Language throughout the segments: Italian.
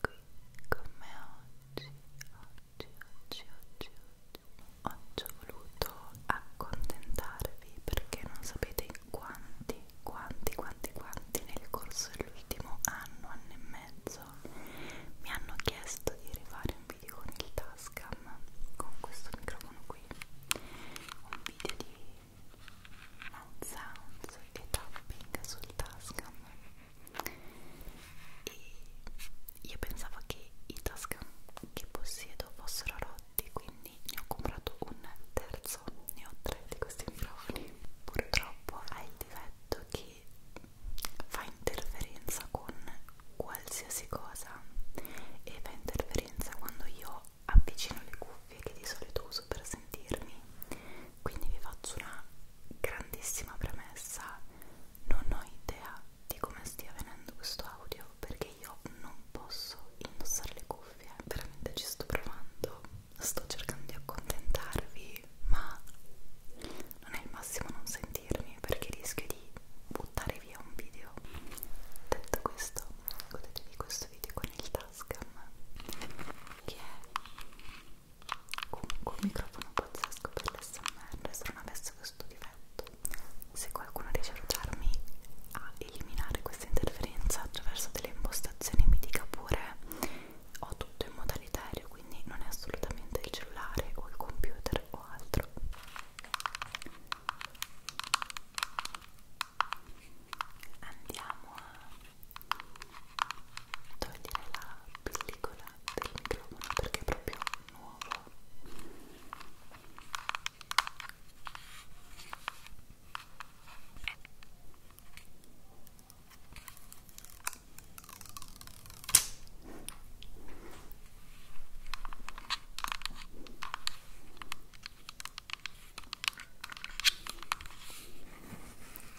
qui con me oggi, oggi, oggi, oggi, oggi. Oggi ho voluto accontentarvi perché non sapete quanti, quanti, quanti, quanti nel corso dell'ultimo anno, anno e mezzo mi hanno chiesto di rifare un video con il Tascam, con questo microfono qui, un video di mouth sounds e tapping sul Tascam e io pensavo che i Tascam che possiedo fossero rotti quindi ne ho comprato un terzo ne ho tre di questi microfoni purtroppo ha il difetto che fa interferenza con qualsiasi cosa e fa interferenza quando io avvicino le cuffie che di solito uso per sentirmi quindi vi faccio una grandissima premessa, non ho idea di come stia venendo questo audio perché io non posso indossare le cuffie, veramente ci sto provando, sto cercando di accontentarvi, ma non è il massimo non sentirmi perché rischio di buttare via un video. Detto questo, godetevi questo video con il Tascam che è Comunque un microfono pazzesco per l'SMR se non avesse questo difetto. Se qualcuno riesce ad aiutarmi a eliminare questa interferenza attraverso delle impostazioni mi dica pure ho tutto in modalità aereo, quindi non è assolutamente il cellulare o il computer o altro. Andiamo a togliere la pellicola del microfono perché è proprio nuovo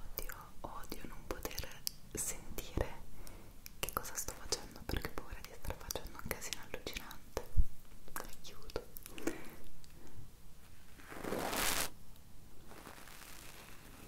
Odio, odio non poter sentire che cosa sto facendo perché ho paura di star facendo un casino allucinante. La chiudo.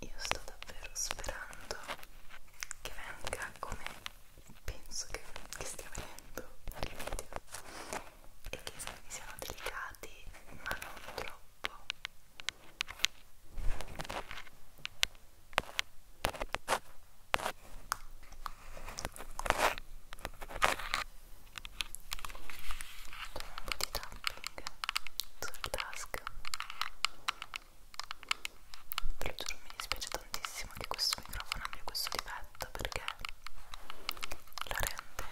Io sto davvero sperando che venga come penso che, che stia venendo il video e che i siano delicati ma non troppo. Sul task muschio te lo giuro mi dispiace tantissimo che questo microfono abbia questo difetto perché lo rende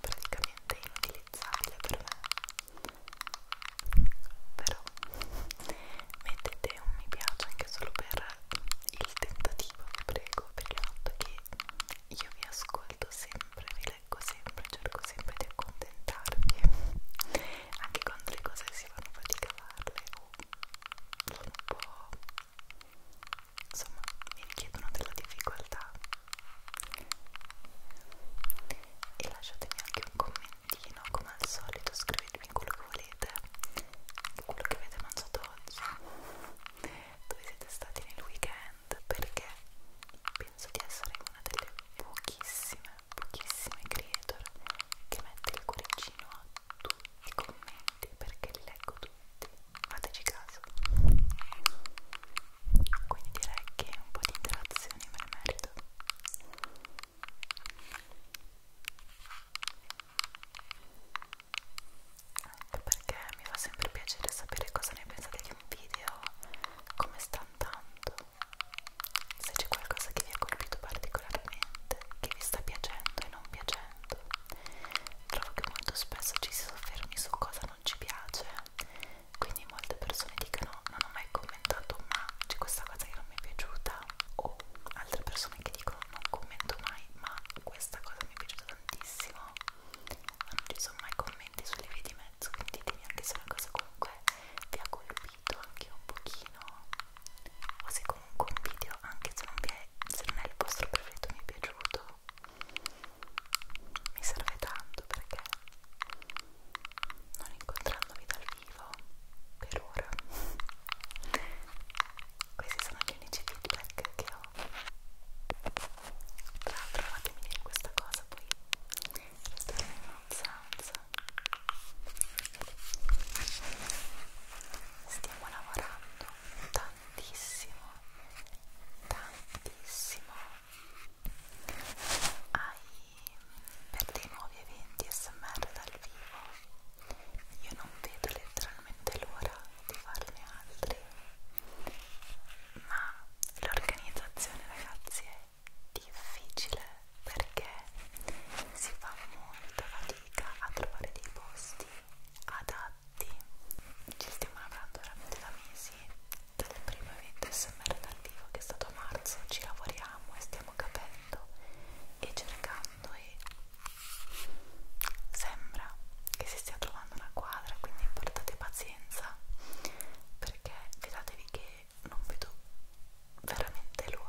praticamente inutilizzabile per me però mettete un mi piace anche solo per il tentativo vi prego per il fatto che io vi ascolto sempre, vi proteggo sempre, cerco sempre di accontentarvi anche quando le cose si fanno fatica a farle o sono un po' insomma mi richiedono della difficoltà e lasciatemi anche un commentino come al solito scrivetemi quello che volete quello che avete mangiato oggi dove siete stati nel weekend brand perché penso di essere una delle pochissime, pochissime creator che mette il cuoricino a tutti i commenti perché li leggo tutti, fateci caso quindi direi che un po' di interazioni me ne merito anche perché mi fa sempre piacere sapere cosa ne pensate gli anche un video come sta andando se c'è qualcosa che vi ha colpito particolarmente che vi sta piacendo e non piacendo trovo che molto spesso ci si soffermi su cosa non ci piace quindi molte persone dicono non ho mai commentato ma c'è questa cosa che non mi è piaciuta o altre persone che dicono non commento mai ma questa cosa mi è piaciuta tantissimo hanno reso ormai commenti sulle vie di mezzo quindi ditemi anche se una cosa comunque vi ha colpito anche un pochino o se comunque un video anche se non, vi è, se non è il vostro preferito mi è piaciuto mi serve tanto perché non incontrandovi dal vivo per ora questi sono gli unici feedback che ho tra l'altro fatemi dire questa cosa poi Stiamo lavorando tantissimo, tantissimo ai, per dei nuovi eventi SMR dal vivo. Io non vedo letteralmente l'ora di farne altri ma l'organizzazione ragazzi è difficile perché si fa molta fatica a trovare dei posti adatti ci stiamo lavorando veramente da mesi dal primo evento SMR dal vivo che è stato a marzo ci lavoriamo e stiamo capendo e cercando e sembra che si stia trovando una quadra quindi portate pazienza per perché fidatevi che non vedo veramente l'ora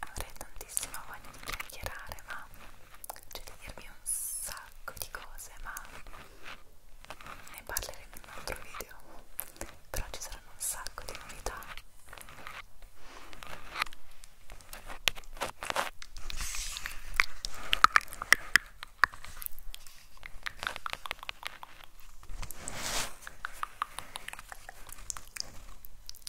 Avrei tantissima voglia di chiacchierare, ma c'è cioè, da dirmi un sacco di cose ma ne parleremo in un altro video però ci saranno un sacco di novità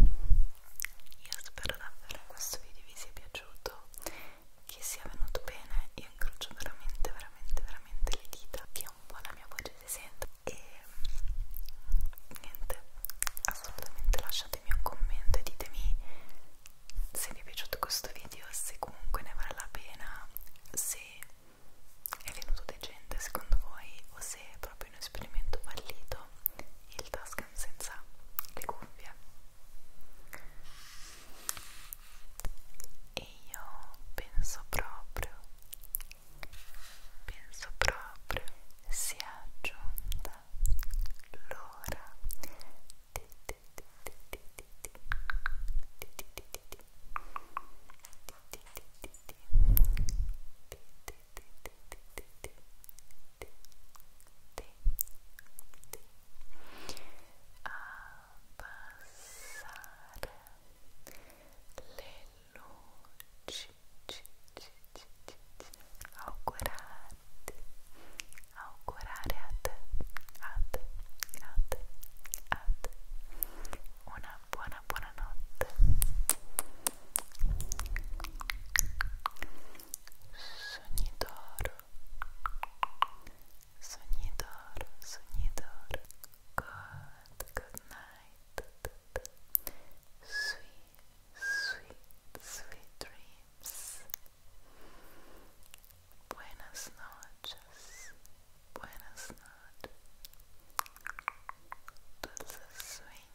Io spero davvero questo video vi sia piaciuto, che sia venuto bene. Io incrocio veramente, veramente, veramente le dita, che un po' la mia voce si senta. E niente, assolutamente lasciatemi un commento e ditemi se vi è piaciuto questo video, se comunque ne vale la pena, se è venuto decente secondo voi o se proprio proprio un esperimento fallito il Tascam senza le cuffie e io penso proprio penso proprio sia giunta l'ora di abbassare le luci augurarti augurare a te a una buona buona notte sonidor sonidor sonidor good good night sweet sweet sweet dreams buenas noches buenas noches dulces sueños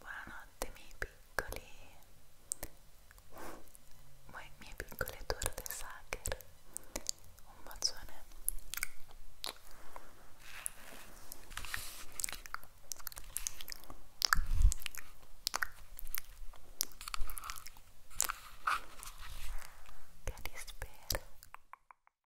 Buonanotte miei piccoli, voi mie piccole torte sacre, un bacione. Che rispero.